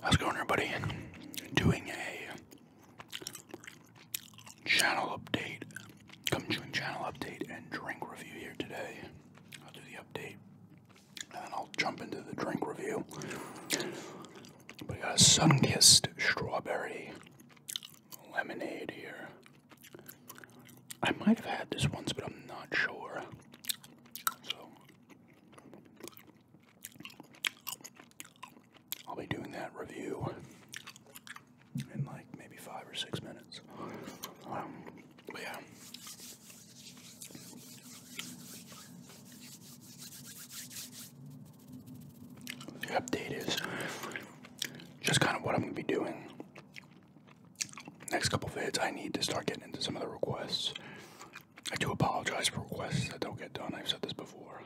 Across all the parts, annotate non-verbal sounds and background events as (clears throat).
How's going, everybody? Doing a channel update, come June channel update and drink review here today. I'll do the update and then I'll jump into the drink review. But got a sun kissed strawberry lemonade here. I might have had this once, but I'm not sure. So I'll be doing that review in like maybe five or six minutes. Um, but yeah. The update is just kind of what I'm going to be doing next couple of hits, I need to start getting into some of the requests. I do apologize for requests that don't get done. I've said this before.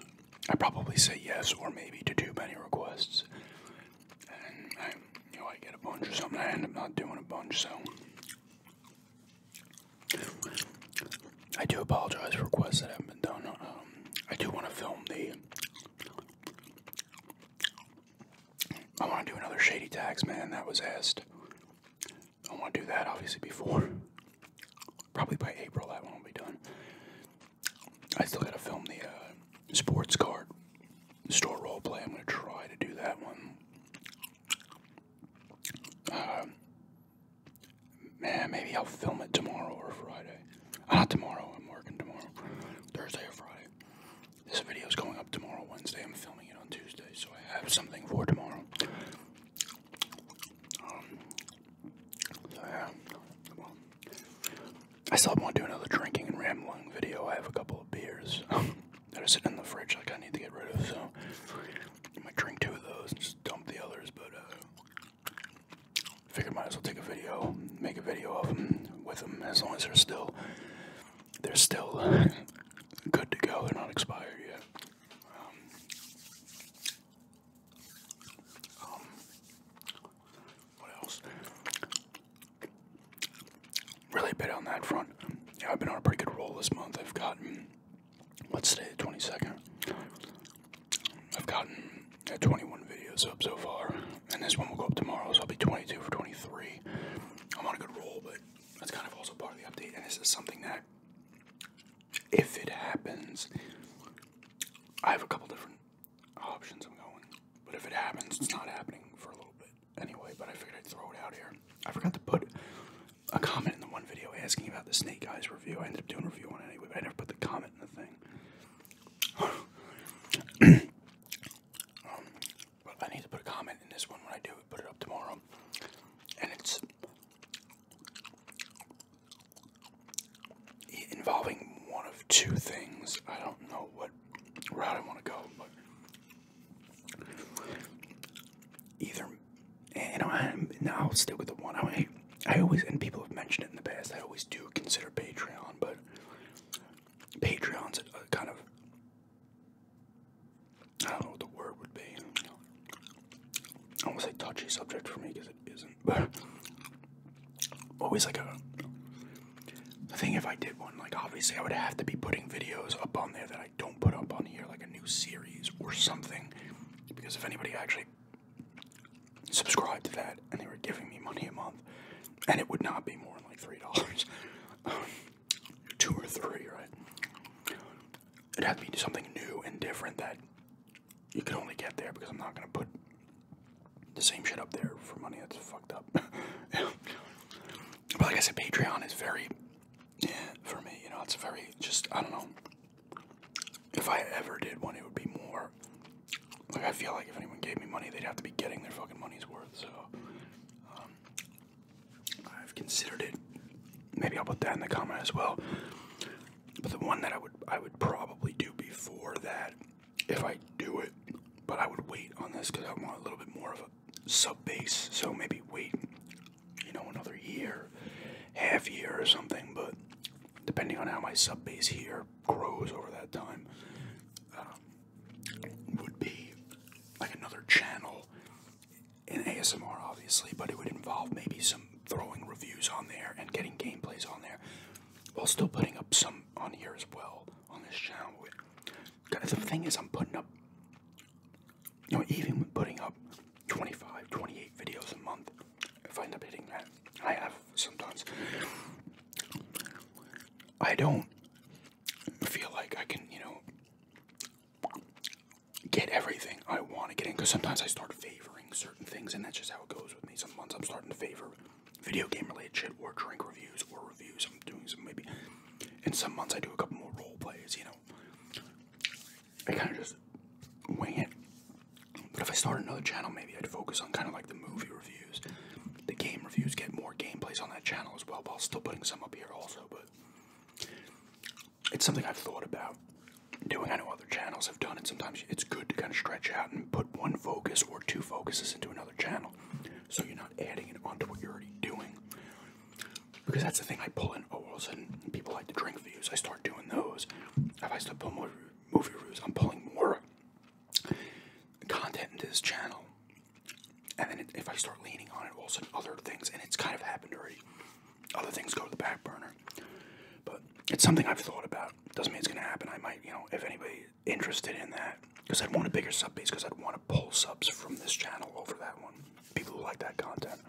I probably say yes or maybe to too many requests, and I, you know, I get a bunch or something. I end up not doing a bunch, so I do apologize for requests that haven't been done. Um, I do want to film the I want to do another Shady tags, man. That was asked. I want to do that, obviously, before. Probably by April, that one will be done. I still got to film the uh, sports card store role play. I'm going to try to do that one. Uh, man, maybe I'll film it tomorrow or Friday. Uh, not tomorrow. I'm working tomorrow. Thursday or Friday. This video is going up tomorrow, Wednesday. I'm filming it on Tuesday, so I have something for tomorrow. Um, so yeah, I still want to do another drinking and rambling video. I have a couple of beers um, that are sitting in the fridge, like I need to get rid of. So I might drink two of those and just dump the others. But uh, figured might as well take a video, make a video of them with them, as long as they're still they're still good to go. They're not expired yet. Um, um, what else? Really bit on that front. Yeah, I've been on a pretty good roll this month. I've gotten what's today, the twenty second. I've gotten uh, twenty one videos up so far and this one will go up tomorrow, so I'll be 22 for 23. I'm on a good roll, but that's kind of also part of the update, and this is something that, if it happens, I have a couple different options I'm going, but if it happens, it's not happening for a little bit anyway, but I figured I'd throw it out here. I forgot to put a comment in the one video asking about the Snake Eyes review. I ended up doing a review on it anyway, but I never put the comment in the thing. Um, I need to put a comment in this one when I do it, put it up tomorrow. And it's involving one of two things. I don't know what route I want to go, but either. And I'm, now I'll stick with the one. I, I always, and people have mentioned it in the past, I always do consider Patreon, but Patreon's a, uh, kind of I don't know what the word would be. I almost say touchy subject for me because it isn't, (laughs) always like a. I think if I did one, like obviously I would have to be putting videos up on there that I don't put up on here, like a new series or something, because if anybody actually subscribed to that and they were giving me money a month, and it would not be more than like three dollars, (laughs) two or three, right? It'd have to be something new and different that you could only get there because I'm not gonna put the same shit up there for money that's fucked up. (laughs) yeah. But like I said, Patreon is very yeah, for me. You know, it's very just I don't know. If I ever did one, it would be more like, I feel like if anyone gave me money, they'd have to be getting their fucking money's worth, so. Um, I've considered it. Maybe I'll put that in the comment as well. But the one that I would I would probably do before that, if I do it, but I would wait on this because I want a little bit more of a sub base. So maybe wait, you know, another year, half year or something. But depending on how my sub base here grows over that time, um, would be like another channel in ASMR, obviously, but it would involve maybe some throwing reviews on there and getting gameplays on there while still putting up some on here as well on this channel. The thing is, I'm putting up, you even putting up 25, 28 videos a month, if I end up hitting that, I have sometimes. I don't feel like I can, you know, get everything I want to get in because sometimes I start favoring certain things, and that's just how it goes with me. Sometimes I'm starting to favor video game related shit or drink reviews or reviews. I'm doing some maybe, In some months I do a couple more role plays, you know. I kind of just wing it. But if I start another channel, maybe I'd focus on kind of like the movie reviews the game reviews get more gameplays on that channel as well, while still putting some up here also, but it's something I've thought about doing. I know other channels have done it. Sometimes it's good to kind of stretch out and put one focus or two focuses into another channel so you're not adding it onto what you're already doing. Because that's the thing I pull in. Oh, and people like to drink views. I start doing those. If I start pulling more movie reviews, I'm pulling more content into this channel, and then if I start leaning on it, also other things, and it's kind of happened already. Other things go to the back burner, but it's something I've thought about. Doesn't mean it's going to happen. I might, you know, if anybody interested in that, because I'd want a bigger sub base, because I'd want to pull subs from this channel over that one. People who like that content.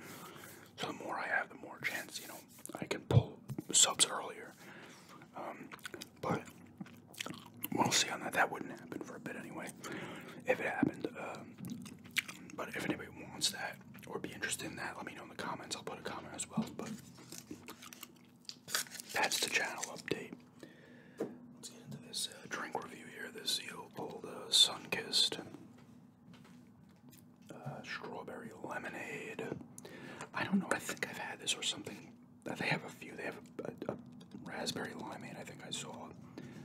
So the more I have, the more chance, you know, I can pull subs earlier. Um, but we'll see on that. That wouldn't happen for a bit anyway. If it happened, um, but if anybody wants that or be interested in that, let me know in the comments. I'll put a comment as well. But that's the channel update. Let's get into this uh, drink review here. This Zeal Gold uh, Sunkissed uh, Strawberry Lemonade. I don't know. I think I've had this or something they have a few. They have a, a, a raspberry limeade. I think I saw.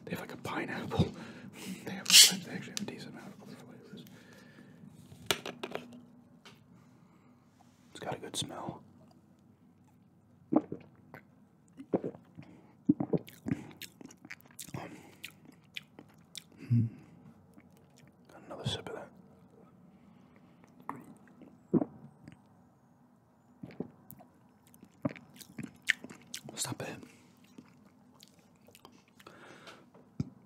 They have like a pineapple. (laughs) they have. They actually have a decent amount of flavors. It's got a good smell. Um another sip of that. It's not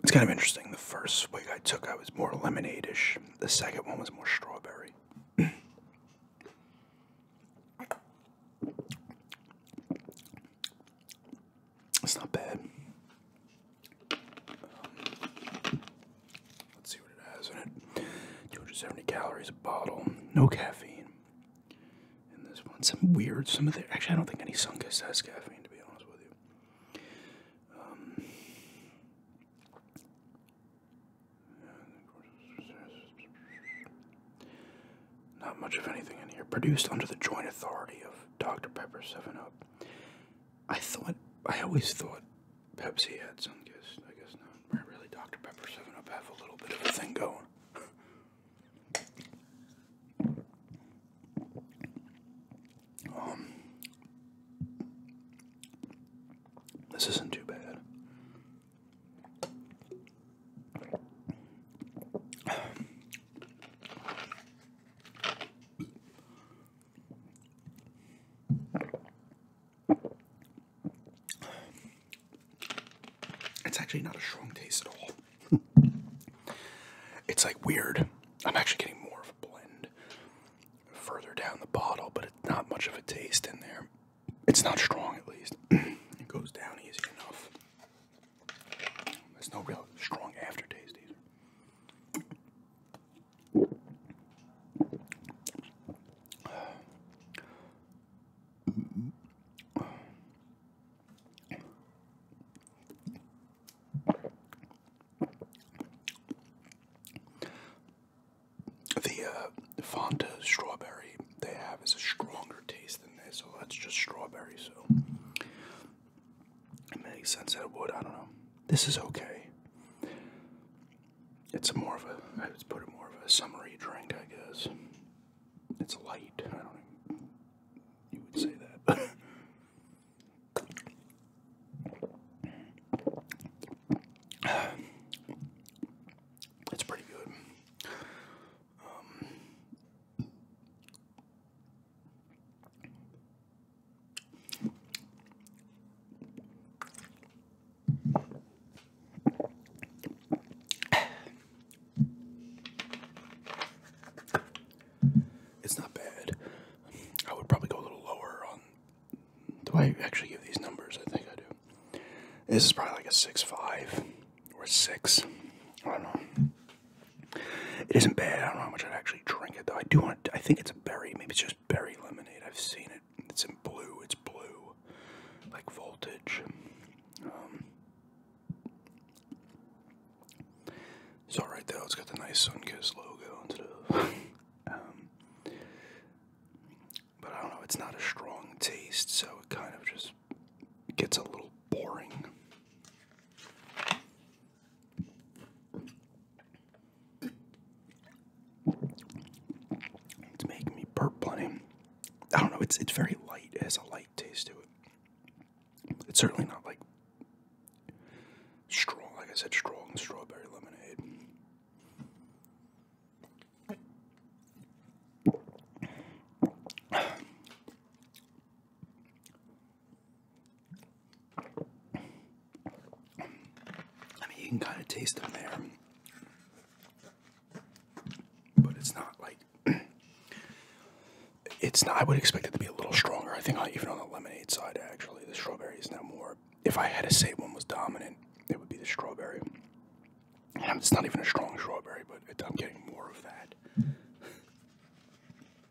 It's kind of interesting. The first swig I took, I was more lemonade-ish. The second one was more strawberry. it's not bad let's see what it has in it. 270 calories a bottle. No caffeine in this one. Some weird. Some of the actually, I don't think any Sunkist has caffeine to be honest with you. Um, not much of anything in here. Produced under the joint authority of Dr. Pepper 7 Up. I thought I always thought Pepsi had Sunkist. I guess not. Really, Dr Pepper's Seven Up have a little bit of a thing going. Um, this isn't too bad. It's actually not a strong taste at all. it's like weird. I'm actually getting more of a blend further down the bottle, but it's not much of a taste in there. It's not strong, at least. (clears throat) it goes down easy enough. There's no real strong aftertaste either. The uh, Fanta strawberry they have is a stronger taste than this, so that's just strawberry. So it makes sense that it would. I don't know. This is okay. It's more of a. I would put it more of a summery drink, I guess. It's light. I don't. know. you would say that. (laughs) it's pretty good. Um, it's not bad. I would probably go a little lower on. Do I actually give these numbers? I think I do. This is probably like a six five or six. I don't know. It isn't bad. I don't know how much I'd actually drink it though. I do want. To, I think it's a berry. Maybe it's just berry lemonade. I've seen it. It's in blue. It's blue, like voltage. Um, it's all right though. It's got the nice Sun Sunkist logo on it. (laughs) Um, but I don't know. It's not a strong taste, so it kind of just gets a little boring. It's making me burp plenty. I don't know, it's it's very light. It has a light taste to it. It's certainly not like strong, like I said, strong strawberry lemonade. I mean, you can kind of taste them there, but it's not like (clears throat) it's not. I would expect it to be a little stronger. I think even on the lemonade side, actually, the strawberry is now more. If I had to say one was dominant, it would be the strawberry. it's not even a strong strawberry, but I'm getting more of that.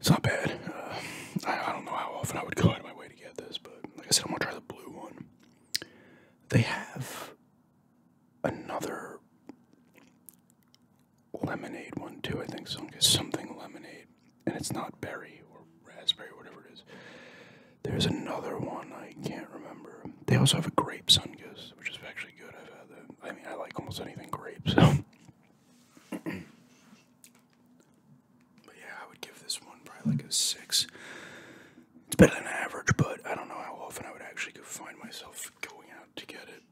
It's not bad. Uh, I, I don't know how often I would go out of my way to get this, but like I said, I'm gonna try the blue one. They have another lemonade one too. I think some something lemonade, and it's not berry or raspberry or whatever it is. There's another one I can't remember. They also have a grape sungus, which is actually good. I've had that. I mean, I like almost anything grape, so. (laughs) But yeah, I would give this one probably like a six. It's better than average, but I don't know how often I would actually go find myself going out to get it.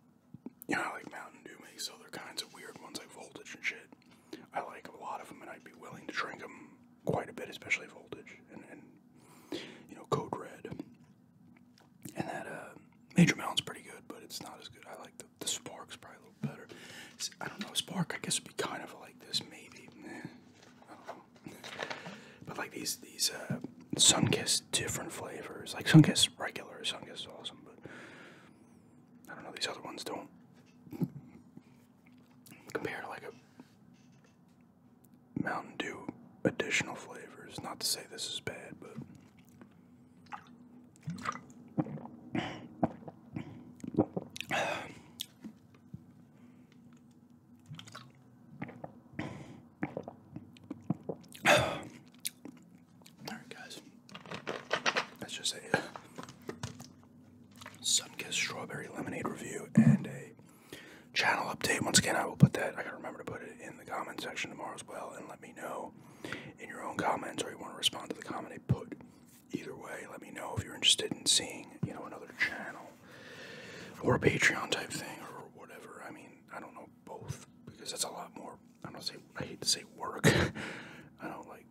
You know, like Mountain Dew makes other kinds of weird ones like Voltage and shit. I like a lot of them, and I'd be willing to drink them quite a bit, especially Voltage and, and you know Code Red. And that uh, Major Mountain's pretty good, but it's not as good. I like the, the Spark's probably a little better. I don't know, Spark, I guess, would be kind of like this, maybe. Man, I don't know. But like these, these uh, Kiss different flavors. Like Sun Kiss regular, Sunkist is awesome, but I don't know, these other ones don't compare to like a Mountain Dew additional flavors. Not to say this is bad, but Alright, guys, that's just a uh, Sunkissed Strawberry Lemonade review and a channel update. Once again, I will put that, I gotta remember to put it in the comment section tomorrow as well and let me know in your own comments or you want to respond to the comment I put. Either way, let me know if you're interested in seeing, you know, another channel or a Patreon type thing or whatever. I mean, I don't know both because that's a lot more. I don't say I hate to say work. (laughs) I don't like.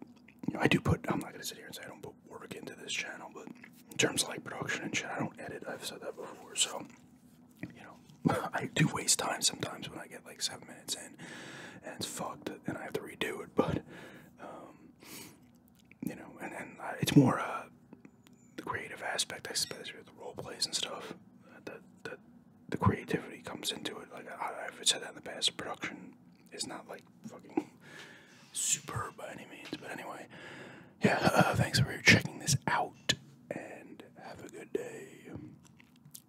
I do put. I'm not gonna sit here and say I don't put work into this channel, but in terms like production and shit, I don't edit. I've said that before, so you know, (laughs) I do waste time sometimes when I get like seven minutes in, and it's fucked and I have to redo it. But um, you know, and and it's more uh, the creative aspect, I suppose, with the role plays and stuff. That the creativity comes into it. Like I, I've said that in the past, production is not like fucking superb by any means. But anyway, yeah. Uh, thanks for checking this out, and have a good day.